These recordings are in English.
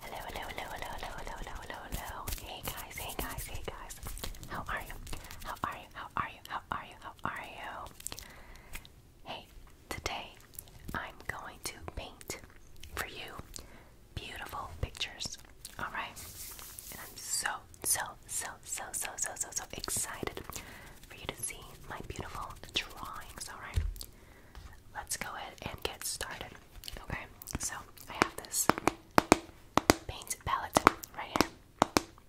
Hello, hello, hello, hello, hello, hello, hello, hello, hello. Hey guys, hey guys, hey guys. How are you? How are you? How are you? How are you? How are you? Hey, today I'm going to paint for you beautiful pictures. Alright? And I'm so, so, so, so, so, so, so, so excited for you to see my beautiful drawings. Alright? Let's go ahead and get started. Okay, so I have this paint palette right here.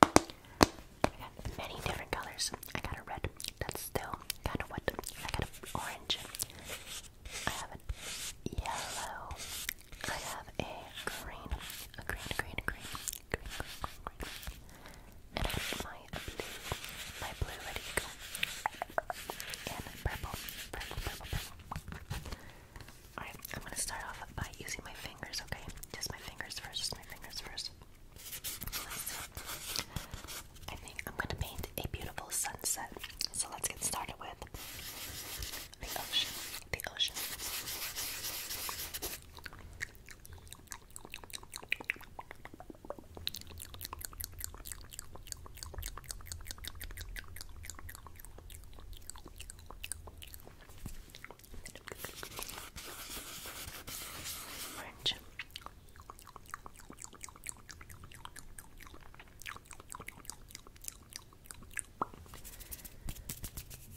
I got many different colors. I got a red, that's still kind of wet. I got an orange. I have a yellow. I have a green, a green, green, green, green, green, green, green. And I have my blue, my blue, ready I'm gonna start off by using my fingers, okay? Just my fingers first, my fingers first. I think I'm gonna paint a beautiful sunset. So let's get started with the ocean. The ocean. Orange.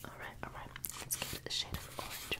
All right, all right. Let's get a shade of orange.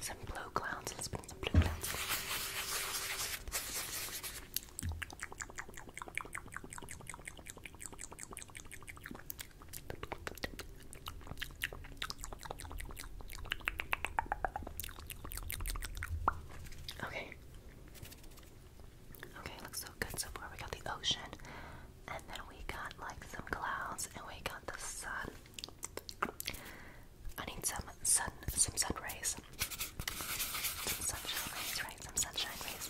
Some blue clouds and some blue clowns. Okay. Okay, looks so good so far. We got the ocean, and then we got like some clouds, and we got the sun. I need some sun, some sun rays, some sunshine rays, right? Some sunshine rays.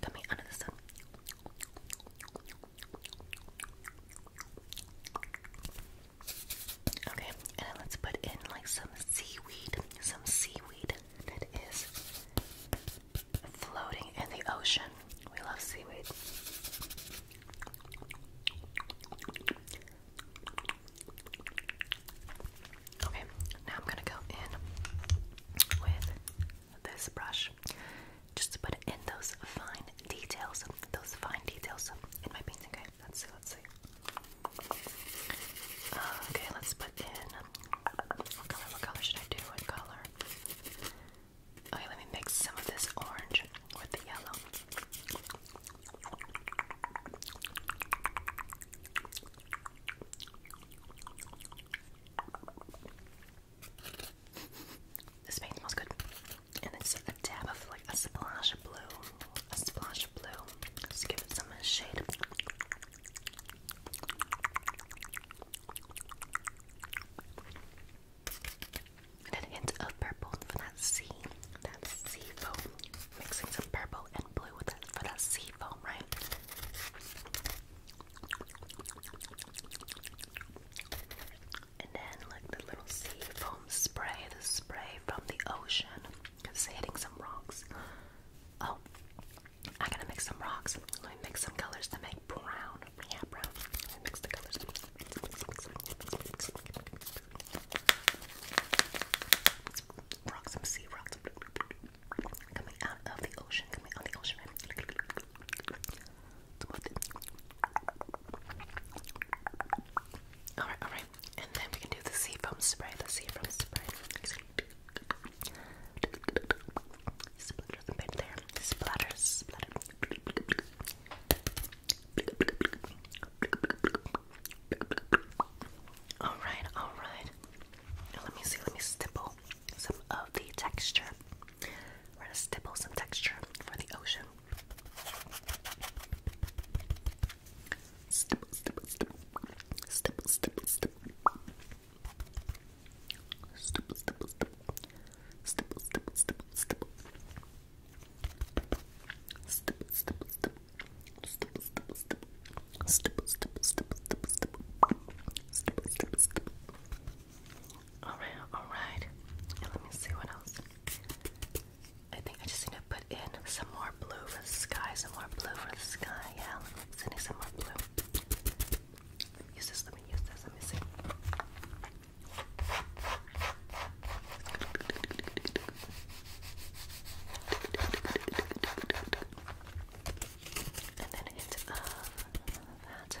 Come here under the sun. Okay, and let's put in like some seaweed, some seaweed that is floating in the ocean. We love seaweed. Okay, now I'm gonna go in with this brush just to put in those fine details, those fine details in my painting. Okay, let's see, let's see. Uh, okay, let's put in what color, what color should I do? What color? Okay, let me mix some of this orange with the yellow. This paint smells good. And it's a dab of like a splash of blue. A splash of blue. Just give it some shade. And a hint of purple for that sea, that sea foam. Mixing some purple and blue with that for that sea foam, right? And then like the little sea foam spray, the spray from the ocean, hitting some rocks. Oh, I gotta mix some rocks. Let me mix some colors to make brown. Yeah, brown. mix the colors. Rocks, some sea rocks coming out of the ocean, coming out of the ocean. Alright, alright. And then we can do the sea foam spray, the sea foam spray. Splatter the there. Splatter, Alright, alright. Let me see, let me stipple some of the texture. We're gonna stipple some texture for the ocean. Stipple, stipple, stipple. Stipple, stipple, stipple. Stipple, stipple, stipple. Stipple, stipple, stipple, stipple. Stipple, stipple, stipple. Stipple, stipple, stipple. Stipple, stipple, stipple, stipple, stipple. Stipple, stipple, stipple. Alright, alright. Let me see what else. I I just need to put in some more blue for the sky, some more blue for the sky. Yeah, let me some more blue. Use this, let me use this, let me see. And then a uh, that.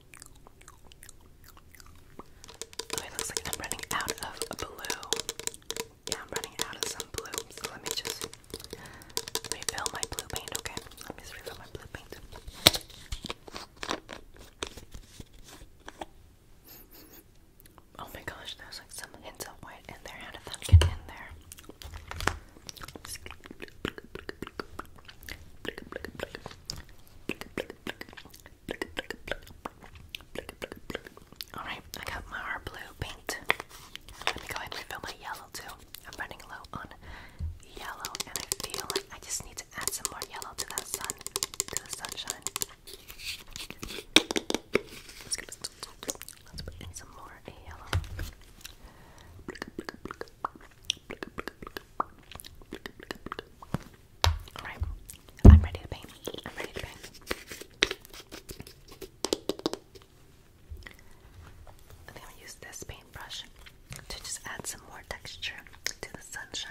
Oh, it looks like I'm running out of blue. Yeah, I'm running out of some blue. So let me just refill my blue paint, okay? Let me just refill my blue paint. Oh my gosh, there's like some hints of white in there. How did that in there? Alright, I got my blue paint. Let me go ahead and refill my yellow too. I'm running low on yellow and I feel like I just need to add some more yellow to that sun, to the sunshine. let's put in some more yellow. Alright, I'm ready to paint. I'm ready to paint. I think I'll use this paintbrush to just add some more texture to the sunshine.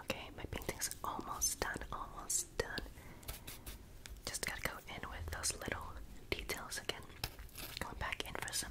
Okay, my painting's almost done, almost done. Just gotta go in with those little details again. Going back in for some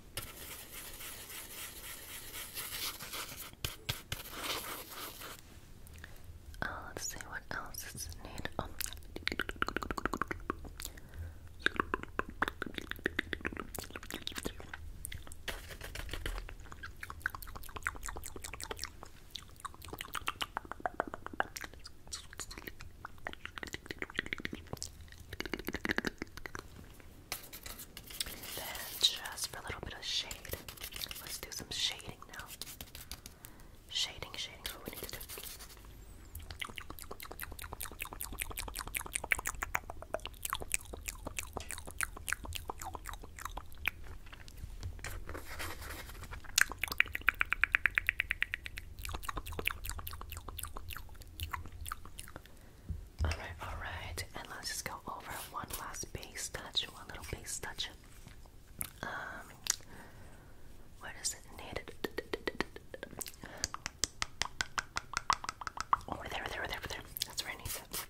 Uh, let's see what else is needed. Um, then just for a little bit of shade. Let's do some shading now. Shading, shading is what we need to do. Alright, alright. And let's just go over one last base touch, one little base touch. Um what is Needed over there, over there, over there, over there. That's where I need it.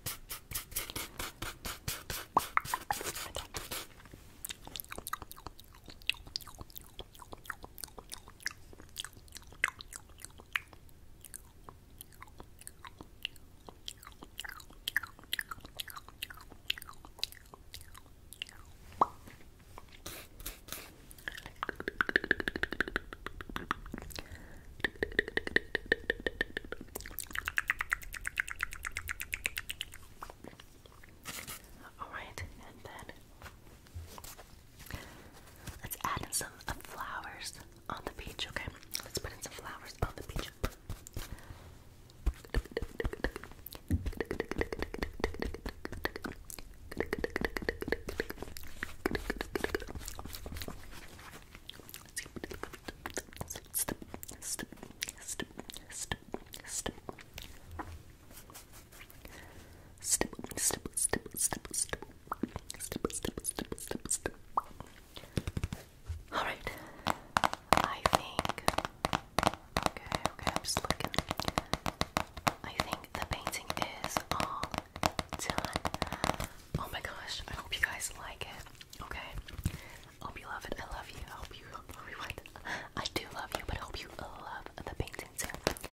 All right, and then Let's add in some flowers on the beach, okay? Let's put in some flowers on the beach. All right. I think. Okay, okay. I'm just looking. I think the painting is all done. Oh my gosh! I hope you guys like it. Okay. hope you love it. I love you. hope you. I do love you, but hope you love the painting too.